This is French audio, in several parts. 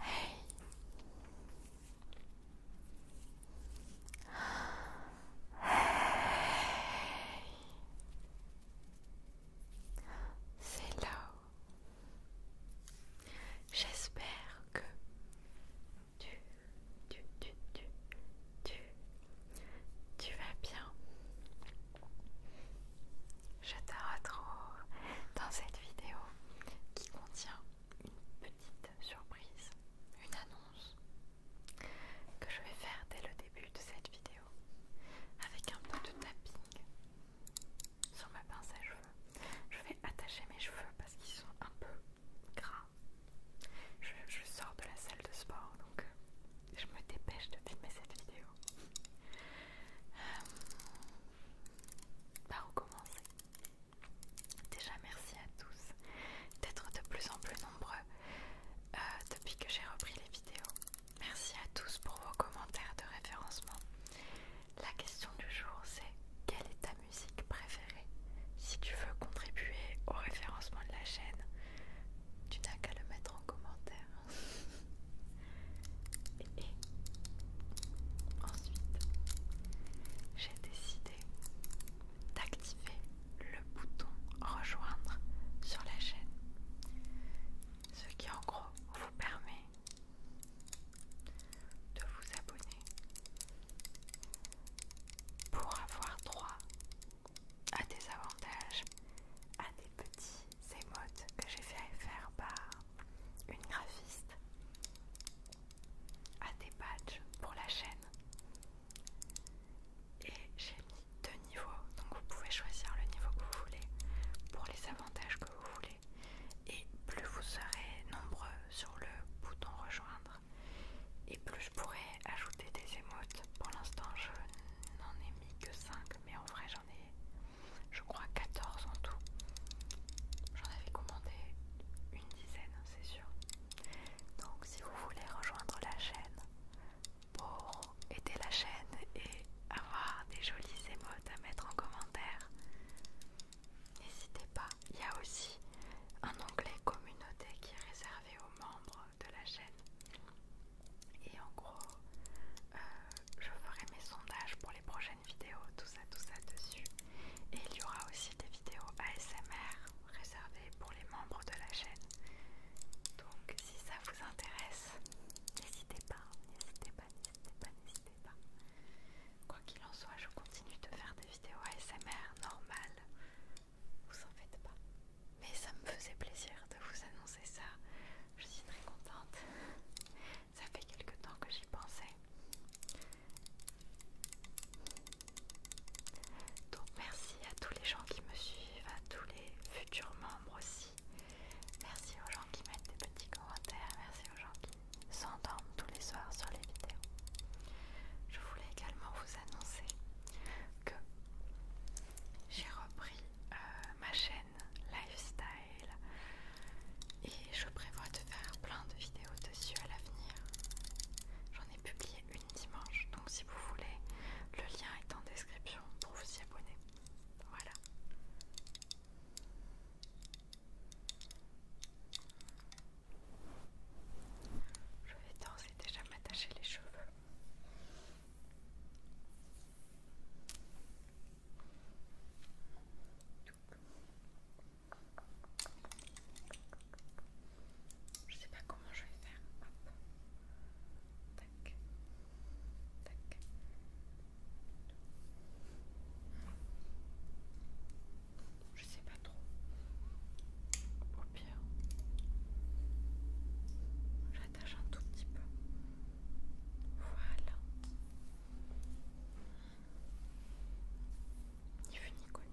Hey. C'est là. J'espère que tu, tu, tu, tu, tu, tu vas bien. Je te retrouve dans cette vidéo qui contient une petite surprise, une annonce que je vais faire dès le début de cette vidéo avec un peu de tapping sur ma pince à cheveux. Je vais attacher mes cheveux parce qu'ils sont un peu gras. Je, je sors de la salle de sport donc euh, je me dépêche de filmer cette vidéo. Euh, par où commencer Déjà merci à tous d'être de plus en plus nombreux euh, depuis que j'ai repris les vidéos. Merci à tous pour vos commentaires de référencement. La question du jour c'est quelle est ta musique préférée Si tu veux contribuer au référencement de la chaîne, tu n'as qu'à le mettre en commentaire. et, ensuite, j'ai décidé d'activer le bouton rejoindre sur la chaîne. Ce qui en gros vous permet de vous abonner pour avoir droit à des avantages, à des petits ces que j'ai fait faire par une graphiste à des badges pour la chaîne. Et j'ai mis deux niveaux, donc vous pouvez choisir le niveau que vous voulez pour les avantages que vous voulez. Et plus vous serez nombreux sur le bouton rejoindre, et plus je pourrai ajouter des émotes. Pour l'instant, je n'en ai mis que 5, mais en vrai, j'en ai je crois 14 en tout. J'en avais commandé une dizaine, hein, c'est sûr. Donc si vous voulez rejoindre la chaîne pour aider la chaîne et avoir des jolies émotes à mettre en commentaire, n'hésitez pas. Il y a aussi un onglet communauté qui est réservé aux membres de la chaîne. Et en gros, euh, je ferai mes sondages pour les prochaines vidéos, tout ça, tout ça dessus. Et il y aura aussi des vidéos ASMR réservées pour les membres de la chaîne. Donc si ça vous intéresse, n'hésitez pas, n'hésitez pas, n'hésitez pas, n'hésitez pas. Quoi qu'il en soit, je continue de faire des vidéos ASMR normales. Vous en faites pas. Mais ça me faisait plaisir de vous annoncer c'est ça. Je suis très contente. Ça fait quelque temps que j'y pensais. Donc merci à tous les gens qui me suivent, à tous les futurs membres aussi. Merci aux gens qui mettent des petits commentaires, merci aux gens qui s'endorment tous les soirs sur les vidéos. Je voulais également vous annoncer que j'ai repris euh, ma chaîne lifestyle. Et je prévois de faire plein de vidéos dessus à l'avenir. J'en ai publié une dimanche, donc si vous voulez, le lien est en description pour vous y abonner. Voilà. Je vais d'ores et déjà m'attacher les cheveux. Je sais pas comment je vais faire. Tac. Je sais pas trop. Au pire, j'attache un tout petit peu. Voilà. Ni vu ni connu.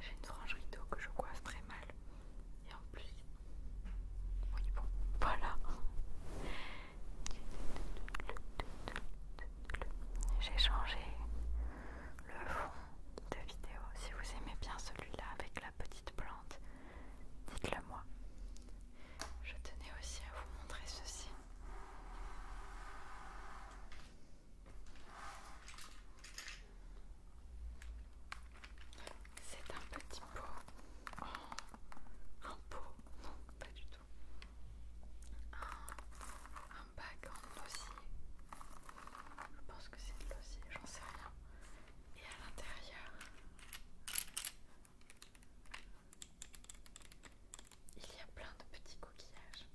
J'ai une frange rideau que je coiffe très mal. Et en plus... Oui bon, voilà. J'ai changé le fond de vidéo. Si vous aimez bien celui-là avec la petite plante, dites-le moi. Je tenais aussi à vous montrer ceci. C'est un petit pot un pot, non pas du tout, un, un bac en osier je pense que c'est de l'osier, j'en sais rien. Et à l'intérieur, il y a plein de petits coquillages.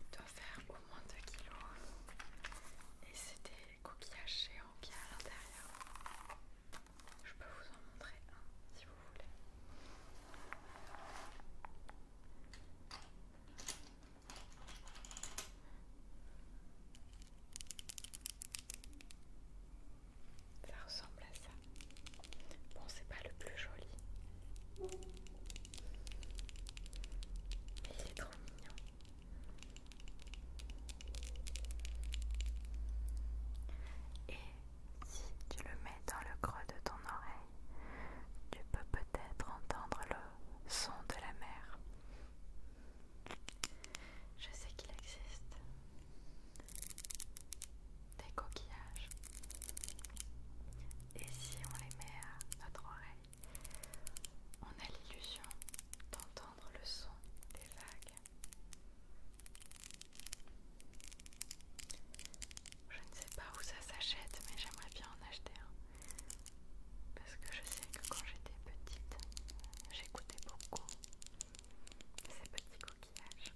Il doit faire au moins 2 kilos. Et c'est des coquillages géants qu'il y a à l'intérieur. Je peux vous en montrer un si vous voulez. Ça ressemble à ça. Bon, c'est pas le plus joli. Mais il est trop mignon. Et si tu le mets dans le creux de ton oreille, tu peux peut-être entendre le son de la mer. Je sais qu'il existe des coquillages. Et si on les met à notre oreille, on a l'illusion d'entendre le son des vagues. Je ne sais pas où ça s'achète, mais j'aimerais bien en acheter un. Parce que je sais que quand j'étais petite, j'écoutais beaucoup ces petits coquillages.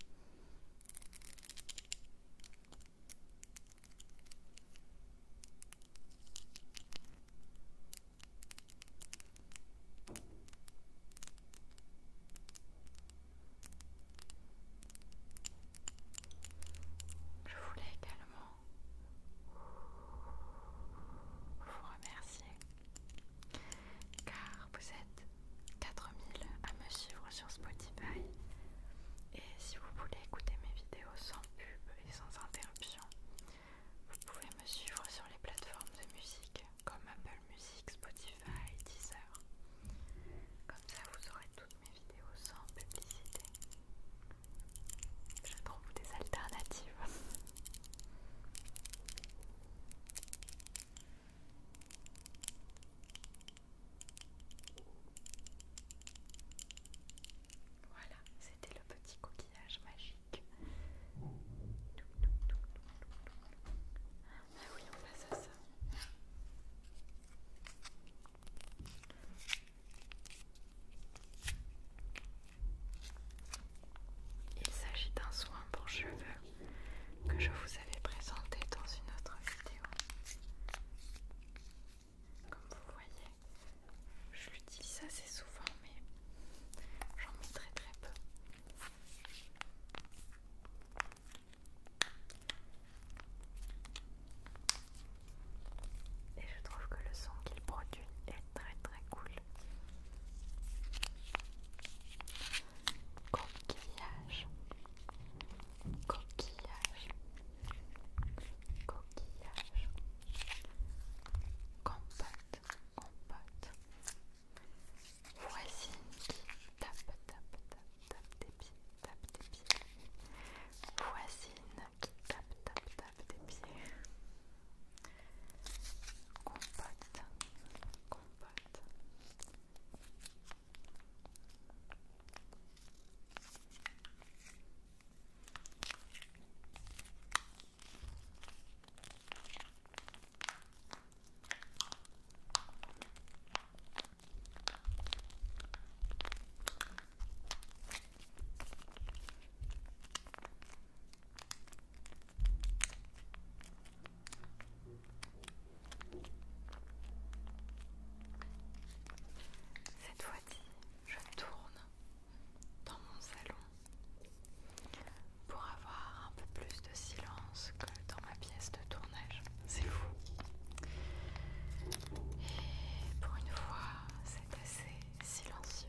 Je voulais également vous remercier car vous êtes 4000 à me suivre sur Spotify et si vous voulez écouter mes vidéos sans pub et sans interruption, vous pouvez me suivre sur les plateformes de musique comme Apple Music, Spotify, Deezer. Comme ça, vous aurez toutes mes vidéos sans publicité. Je trouve des alternatives. Voilà, c'était le petit coquillage magique. Ah oui, ça. Il s'agit d'un soin pour cheveux que je vous avais présenté dans une autre vidéo. Comme vous voyez, je l'utilise assez souvent, mais j'en mets très très peu. Et je trouve que le son qu'il produit est très très cool. Coquillage. Coquillage. Coquillage. Compote. Compote. Voisine qui tape, tape, tape, tape des pieds, tape des pieds. Voisine qui tape, tape, tape des pieds. Compote, compote. Cette fois-ci, je tourne dans mon salon pour avoir un peu plus de silence que dans ma pièce de tournage. C'est fou. Et pour une fois, c'est assez silencieux.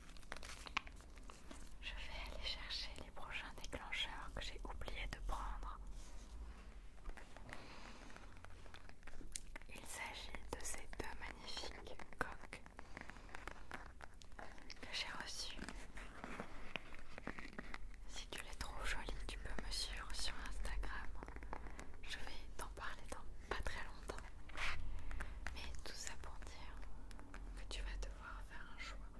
Je vais aller chercher les prochains déclencheurs que j'ai oublié de prendre. Il s'agit de ces deux magnifiques coques que j'ai reçues. Si tu les trouves jolies, tu peux me suivre sur Instagram. Je vais t'en parler dans pas très longtemps. Mais tout ça pour dire que tu vas devoir faire un choix.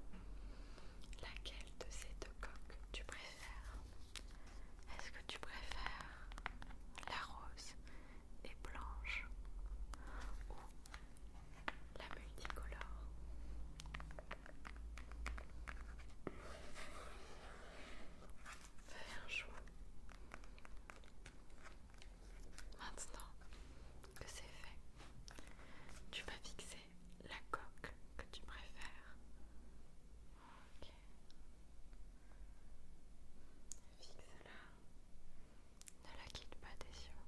Laquelle de ces deux coques tu préfères Est-ce que tu préfères la rose et blanche ou la multicolore Fais un choix. Maintenant que c'est fait, tu vas fixer la coque que tu préfères. Fixe-la. Ne la quitte pas des yeux.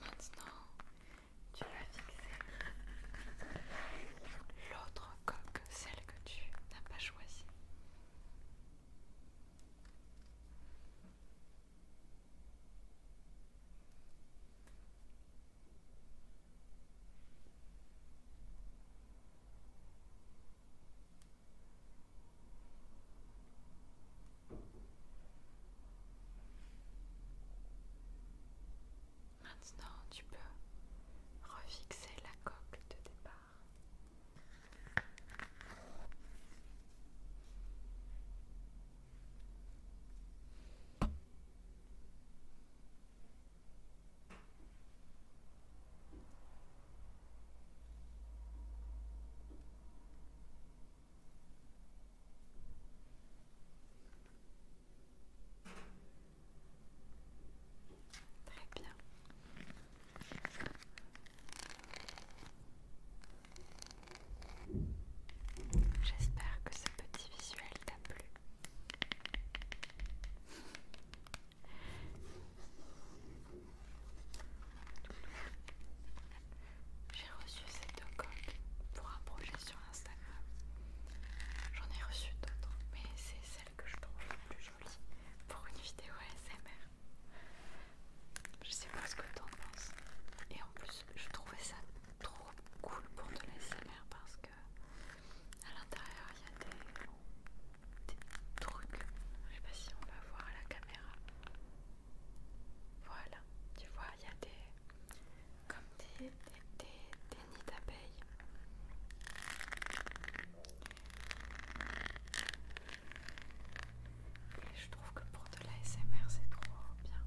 Maintenant, tu vas fixer l'autre coque, celle que tu n'as pas choisie. Maintenant, tu peux refixer la coque de départ. Très bien. J'espère que ce petit visuel t'a plu. J'ai reçu cette deux pour un sur Instagram. J'en ai reçu d'autres, mais c'est celle que je trouve la plus jolie pour une vidéo SMR. Je sais pas ce que t'en penses. Et en plus, je trouvais ça trop cool pour de l'ASMR parce que à l'intérieur il y a des, des trucs. Je sais pas si on va voir à la caméra. Voilà, tu vois, il y a des comme des, nids d'abeilles. Et je trouve que pour de la SMR c'est trop bien.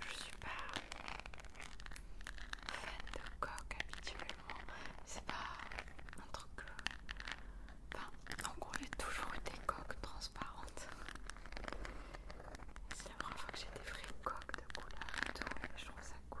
Je suis pas fan de coques habituellement. C'est pas un truc. Enfin, en gros, il y a toujours eu des coques transparentes. C'est la première fois que j'ai des vraies coques de couleur je trouve ça cool.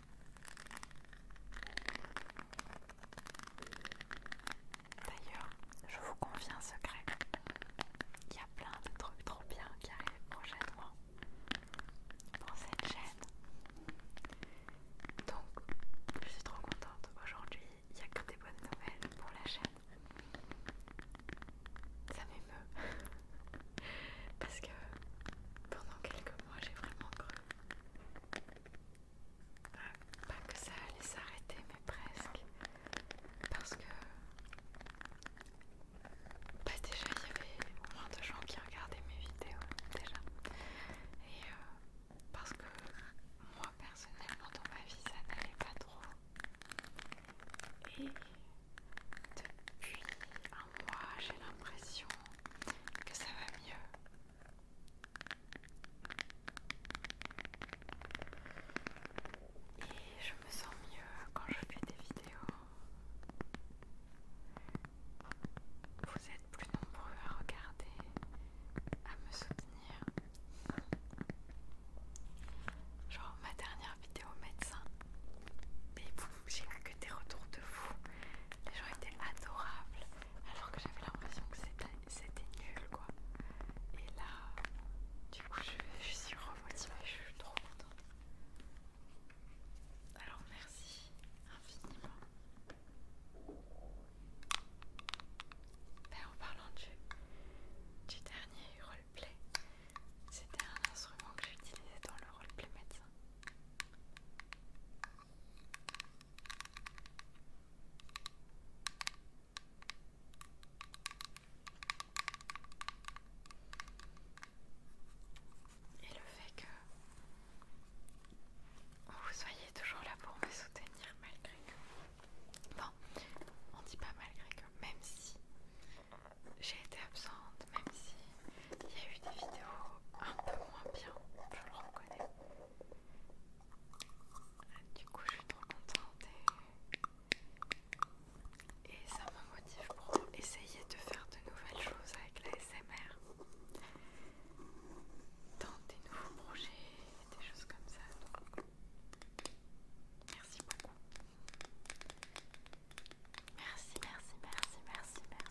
D'ailleurs, je vous confie un secret. Il y a plein de trucs trop bien qui arrivent prochainement dans cette chaîne. Donc, je suis trop contente. Aujourd'hui, il n'y a que des bonnes nouvelles pour la chaîne. Ça m'émeut. Parce que pendant quelques mois, j'ai vraiment cru pas que ça allait s'arrêter, mais presque. Parce que. Bah, déjà, il y avait moins de gens qui regardaient mes vidéos, déjà. Et euh, parce que moi, personnellement, dans ma vie, ça n'allait pas trop. Et depuis un mois, j'ai l'impression que ça va mieux. Et je me sens mieux quand je fais des vidéos. Vous êtes plus nombreux à regarder, à me soutenir. Genre ma dernière vidéo médecin, et vous j'ai eu que des retours de vous, Les gens étaient adorables, alors que j'avais l'impression que c'était nul quoi. Et là, du coup, je, suis remotivée, je suis trop contente. Alors merci infiniment. Ben, en parlant du dernier roleplay, c'était un instrument que j'utilisais dans le roleplay médecin. Et le fait que vous soyez toujours là pour me soutenir malgré que... Bon, on dit pas malgré que, même si j'ai été absente, même si il y a eu des vidéos un peu moins bien, je le reconnais. Du coup, je suis trop contente et, ça me motive pour essayer de faire de nouvelles choses avec la SMR. Dans des nouveaux projets, des choses comme ça. Donc, merci beaucoup. Merci, merci, merci, merci, merci.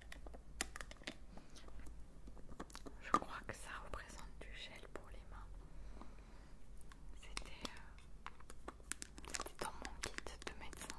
Je crois que ça représente du gel pour les mains. C'était euh, dans mon kit de médecin.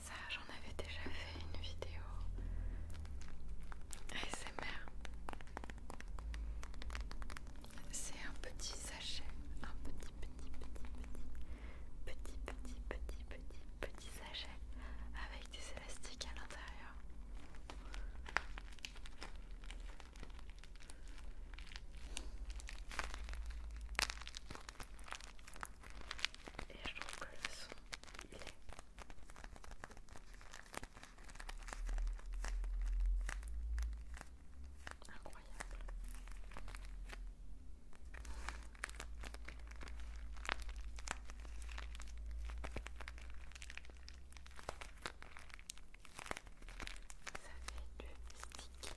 Ça, j'en avais déjà fait une vidéo ASMR. C'est un petit sachet, un petit, petit, petit, petit, petit, petit, petit, petit, petit sachet avec des élastiques à l'intérieur. Et je trouve que le son, il est incroyable. Ça fait sticky,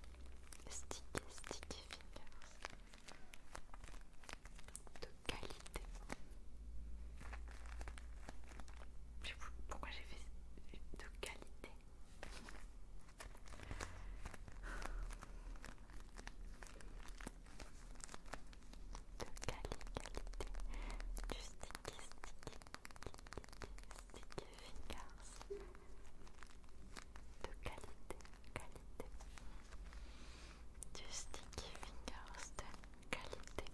sticky, sticky de qualité. pourquoi j'ai fait de qualité de qualité, qualité du sticky, sticky, sticky fingers de qualité, qualité du sticky fingers de qualité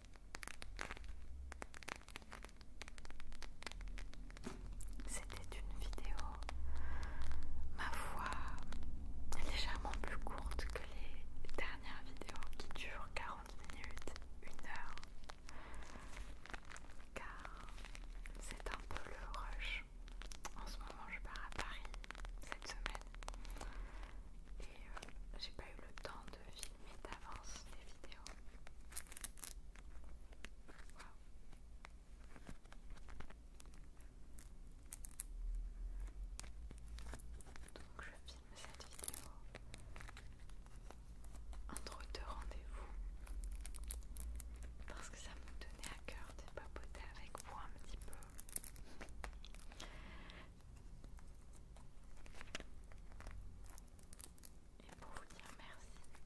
C'était une vidéo, ma voix légèrement plus courte que les dernières vidéos qui durent 40 minutes, 1 heure. Car c'est un peu le rush. En ce moment, je pars à Paris cette semaine. Et euh, j'ai pas eu le temps de filmer d'avance les vidéos. Donc je filme cette vidéo entre deux rendez-vous parce que ça me tenait à cœur de papoter avec vous un petit peu et pour vous dire merci.